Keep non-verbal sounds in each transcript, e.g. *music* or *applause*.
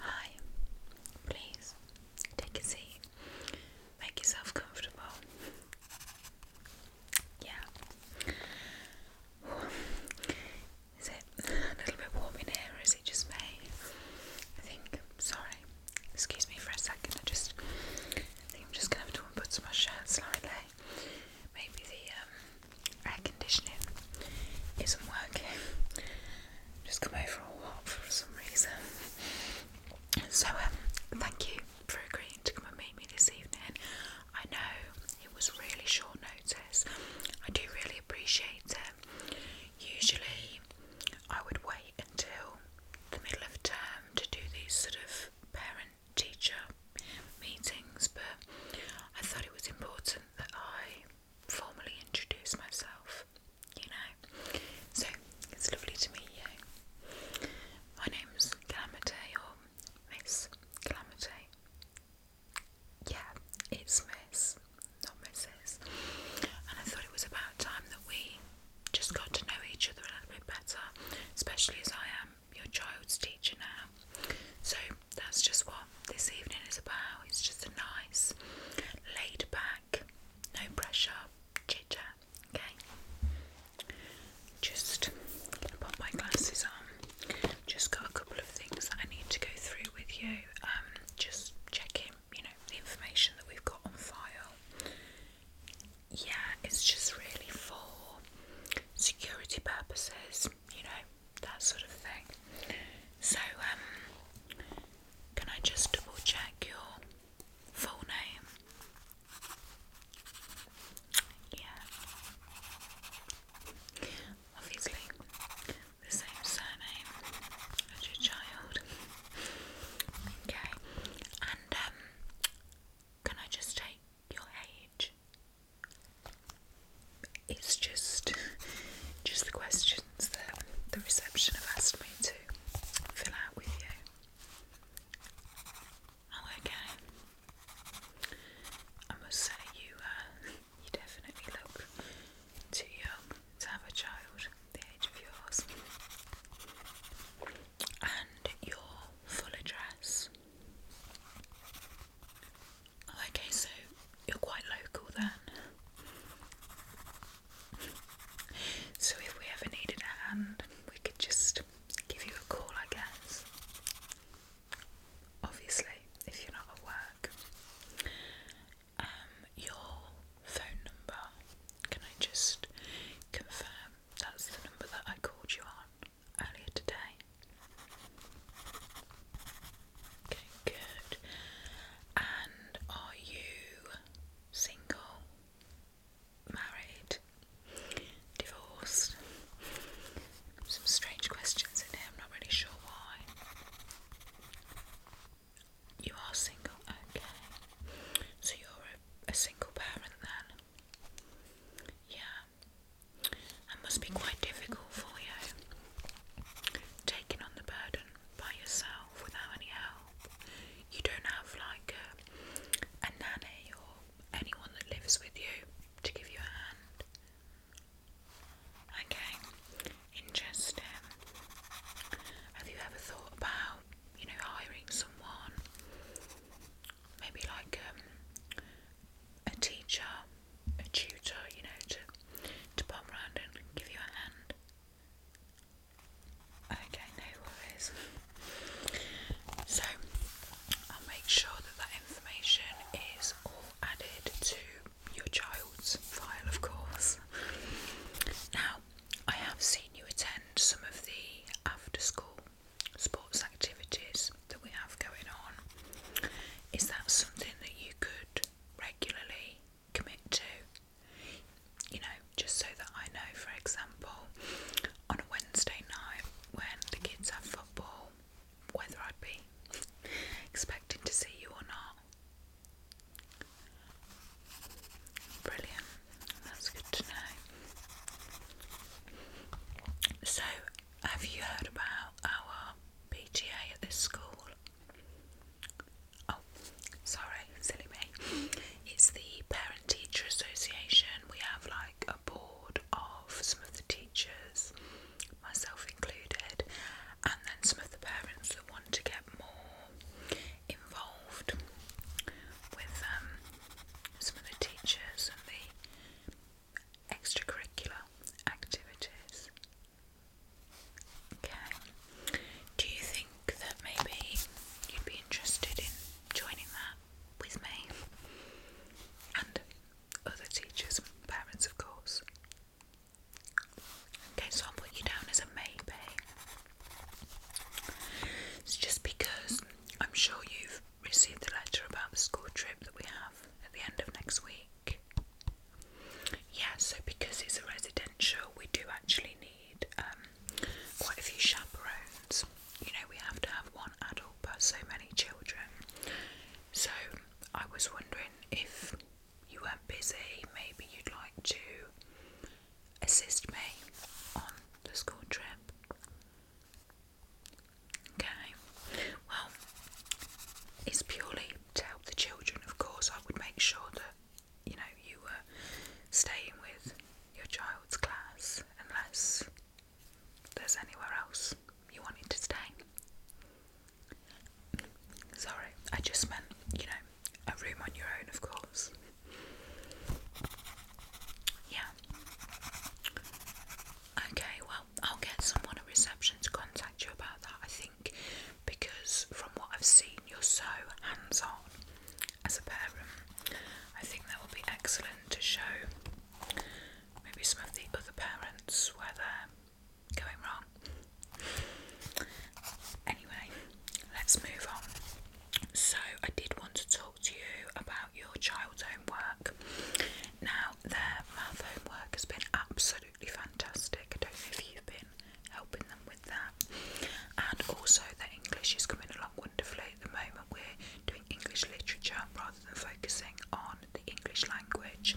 Hi, please take a seat. Make yourself comfortable. Yeah. Is it *laughs* a little bit warm in here, or is it just me? I think. Sorry. Excuse me for a second. I just think I'm just gonna have to unbutton my shirt slightly. Maybe the um, air conditioning isn't working. *laughs* Just come over a walk for some reason. So um, thank you for agreeing to come and meet me this evening. I know it was really short notice. I do really appreciate it. Usually, I would wait until the middle of term to do these sort of parent teacher meetings, but I thought it was important that I formally introduce myself, you know. So it's lovely to meet you. My name's Calamity or Miss Calamity yeah, it's Miss, not Mrs. And I thought it was about time that we just got to know each other a little bit better, especially as I am your child's teacher now. So that's just what this evening is about. It's just a nice, laid back, no pressure chit chat. Okay, just put my glasses on. Just got a couple of things that I need to go through with you. Um, just checking, you know, the information that we've got on file. Yeah, it's just really for security purposes, you know, that sort of thing. So, um, can I just double check your full name? Yeah obviously the same surname as your child. Okay, and um, can I just take your age? It's just, just the questions that the reception have asked me to fill out with you. Oh, okay. I must say you, uh, you definitely look too young to have a child the age of yours. And your full address. okay, so you're quite local then. So if we ever needed a hand, we could just give you a call, I guess obviously, if you're not at work. Um, your phone number, can I just confirm that's the number that I called you on earlier today? Okay, good. And are you single, married, divorced? some strange questions in here, I'm not really sure why. You are single, okay. So you're a, single parent then? Yeah. That must be quite difficult for you. Taking on the burden by yourself without any help. You don't have like a nanny or anyone that lives with you to give you a hand. Okay, interesting. Have you ever thought about, you know, hiring someone? Maybe like um, a teacher, a tutor, you know, to to pop round and give you a hand. Okay, no worries. So I'll make sure that that information is is all added to your child's file, of course. Now, I have seen you attend some of the after school sports activities that we have going on. Is that something that you could regularly commit to? You know, just so that I know, for example, on a Wednesday night when the kids have football, whether I'd be expecting to see you or not. Brilliant, that's good to know. So, have you heard about our PTA at this school? Oh, sorry, silly me. It's the Parent Teacher Association. We have like a board of some of the teachers, myself included, and then some of the parents that want to get more involved with um, some of the teachers and the extracurricular activities. Okay. Do you think that maybe you'd be interested in joining that with me? And other teachers parents, of course. Okay, so I'll put you down as a maybe. It's just because I'm sure you've received the letter about the school trip that we have at the end of next week. Yeah, so because it's a residential, we do actually need um, quite a few chaperones you know, we have to have one adult per so many children. So I was wondering if you weren't busy, maybe you'd like to assist me on the school trip. Okay, well, it's purely to help the children, of course. I would make sure that you know you were staying with your child's class unless there's anywhere else you want it to stay. Sorry, I just meant, you know, a room on your own, of course. Yeah. Okay, well, I'll get someone reception to contact you about that, I think, because from what I've seen, you're so hands on as a parent. I think that will be excellent to show maybe some of the other parents where they're going wrong. Anyway, let's move on. So, I did want to talk to you about your child's homework. Now, their math homework has been absolutely fantastic. I don't know if you've been helping them with that, and also their English is coming along wonderfully at the moment we're doing English literature rather than focusing on the English language.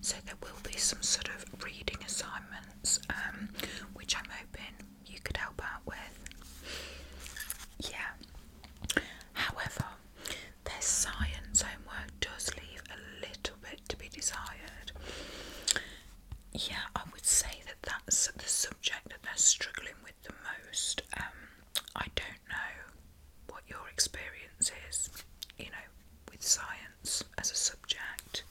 So there will be some sort of reading assignments, um, which I'm hoping you could help out with. Yeah. However, their science homework does leave a little bit to be desired. Yeah, I would say that that's the subject that they're struggling with the most. Um, I don't know what your experience is, you know, with science as a subject.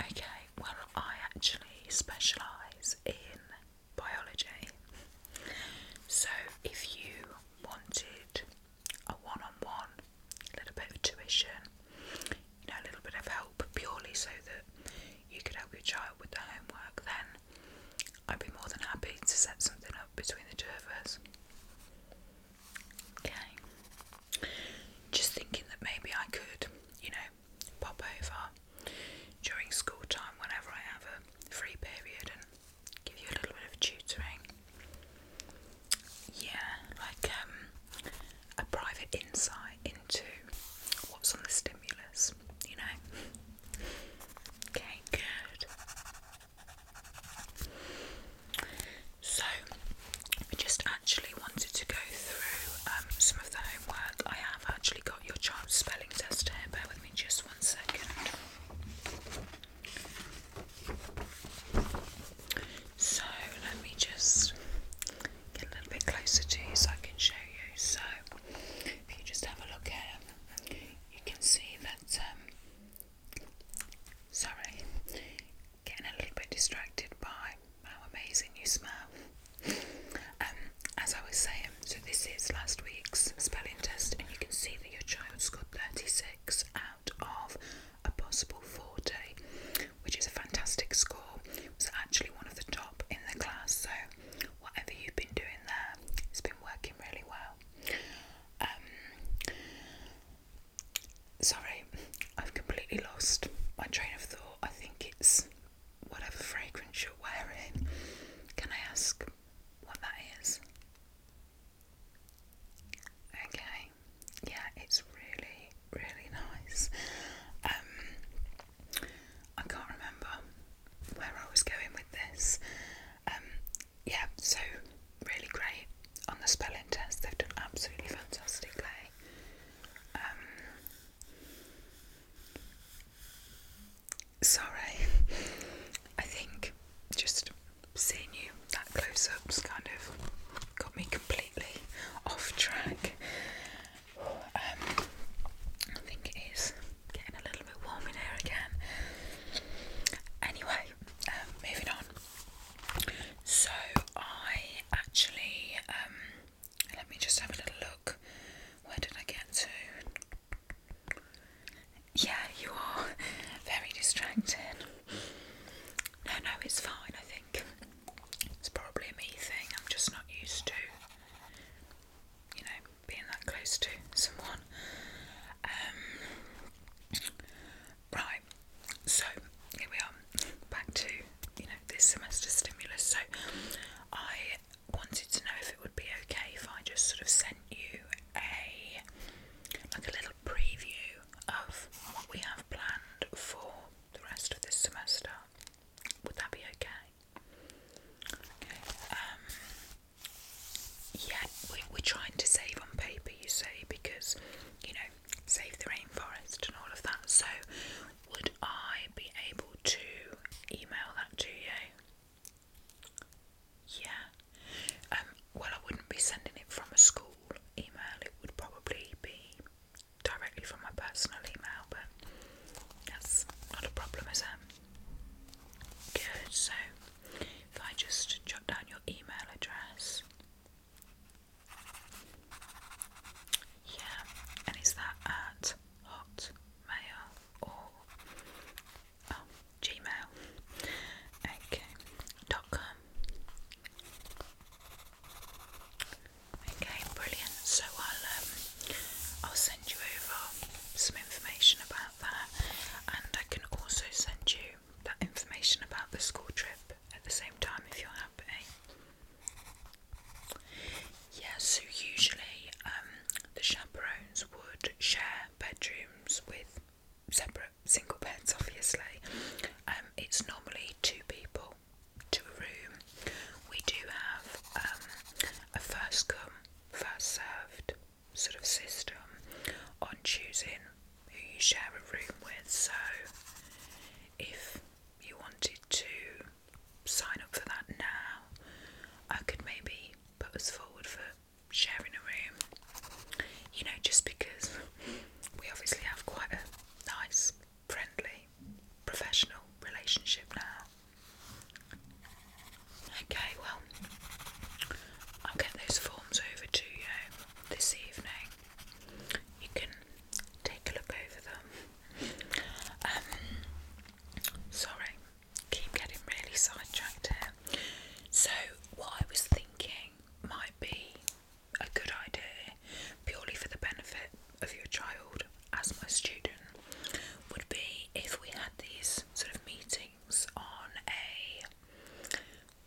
Okay, well, I actually specialise in biology. So if you wanted a one on one, a little bit of tuition, you know, a little bit of help purely so that you could help your child with the homework, then I'd be more than happy to set something up between the two of us. Okay. Just thinking that maybe I could, you know, pop over during school time whenever I have a free period and give you a little bit of tutoring. Yeah, like um, a private insight into what's on the stimulus, you know? Okay, good. So, I just actually wanted to go through um, some of the homework. I have actually got your child's spelling test here. Bear with me just one second. So, let me just a little bit closer to you so I can show you. So, if you just have a look at you can see that. Um, sorry, getting a little bit distracted by how amazing you smell. Um, as I was saying, so this is last week's spelling test, and you can see that your child scored 36 out of a possible 40 which is a fantastic score, was actually one of the top in the class. So, whatever you've been doing there, it's been working really well. Um, sorry, I've completely lost my train of thought. I think it's whatever fragrance you're wearing. Can I ask what that is? Okay, yeah, it's really really nice. Um, I can't remember where I was going with this. Um, yeah, so really great on the spelling test. They've done absolutely fantastically. Um, sorry, I think just seeing you that close up up's kind of got me completely off track. Um, I think it is getting a little bit warm in here again. Anyway, um, moving on. So I actually um, let me just have a little look. Where did I get to? Yeah, you are very distracted. No, no, it's fine, I think. It's probably a me thing, I'm just not used to, you know, being that close to someone. Um, right, so here we are, back to, you know, this semester stimulus. So I wanted to know if it would be okay if I just sort of sent you a like a little preview of what we have planned for the rest of this semester. Would that be okay? Um, yeah, we, are trying to save on paper, you say, because, you know, save the rainforest and all of that. So, would I be able to email that to you? Yeah. Um, well, I wouldn't be sending it from a school email, it would probably be directly from my personal email, but that's not a problem, is it? Good, so if I just jot down your email address. Yeah, and is that at Hotmail or oh, Gmail? Okay, dot com. Okay, brilliant. So I'll um, I'll send you over some information about that, and I can also send you that information about the school trip at the same time if you're happy. Yeah, so usually um, the chaperones would share bedrooms with separate single beds, obviously. Um, it's normally two people to a room. We do have um, a first come, first served sort of system on choosing who you share a room with. So if you wanted to sign up for that now, I could maybe put us forward for sharing a room you know, just because we obviously have quite a nice, friendly, professional relationship now. Okay, well, I'll get those forms over to you this evening. You can take a look over them. Um, sorry, keep getting really sidetracked here. So, what I was thinking might be a good idea purely for the benefit of your child as my student would be if we had these sort of meetings on a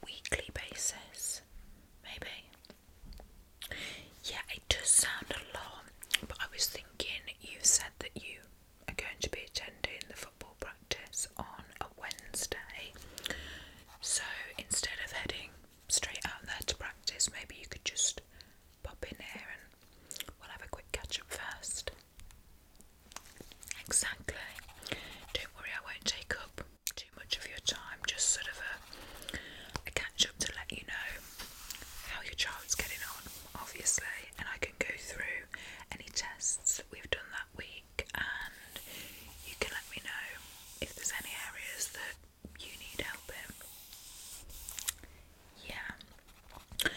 weekly basis, maybe. Yeah, it does sound a lot, but I was thinking you said that you are going to be attending the football practice on a Wednesday. So instead of heading straight out there to practice, maybe you could just pop in here and we'll have a quick catch up first. Exactly. Don't worry, I won't take up too much of your time, just sort of a, a catch up to let you know how your child's getting on, obviously. And I can go through any tests. that We've done that week and you can let me know if there's any areas that you need help in. Yeah,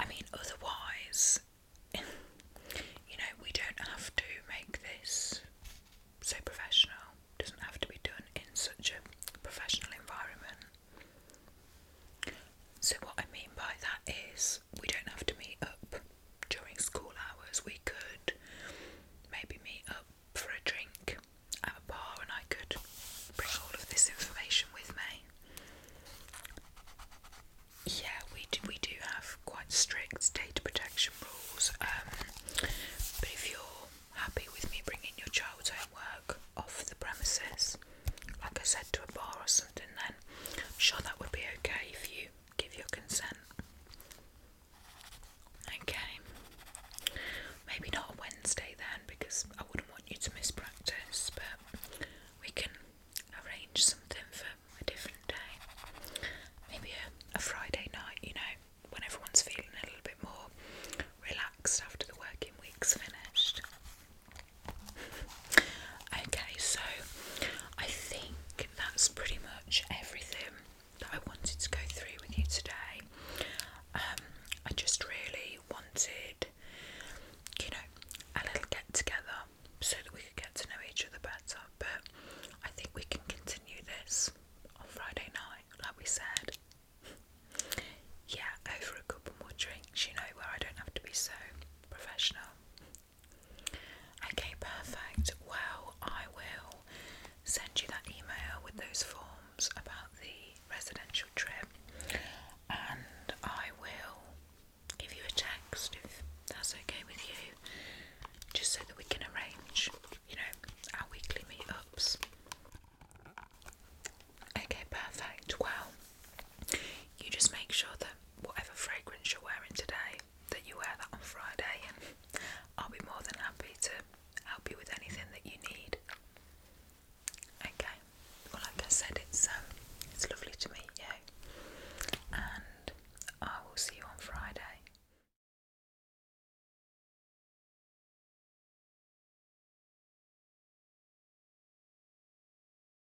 I mean, otherwise, *laughs* you know, we don't have to make this so professional, doesn't have to be done in such a professional environment. So, what I mean by that is, we don't have to meet up during school hours we could maybe meet up for a drink at a bar and I could bring all of this information with me. Yeah, we do, we do have quite strict data protection rules, um, but if you're happy with me bringing your child's homework off the premises, like I said, to a bar or something, then I'm sure that would be okay for you give your consent. Okay, maybe not a Wednesday then because I wouldn't want you to miss practice, but we can arrange something for a different day. Maybe a Friday night, you know, when everyone's feeling a little bit more relaxed after the working week's finished. Okay, so I think that's pretty much everything that I wanted to go through with you today. Um, I just really wanted, you know, a little get together so that we could get to know each other better. But I think we can continue this on Friday night, like we said. Yeah, over a couple more drinks, you know, where I don't have to be so professional. Okay, perfect. Well, I will send you that email with those forms about the residential trip and I will give you a text if that's okay with you, just so that we can arrange, you know, our weekly meetups. Okay, perfect. Well, you just make sure that whatever fragrance you're wearing today, that you wear that on Friday, and I'll be more than happy to help you with anything that you need. Okay. Well, like I said, it's um, it's lovely to meet you, and I will see you on Friday.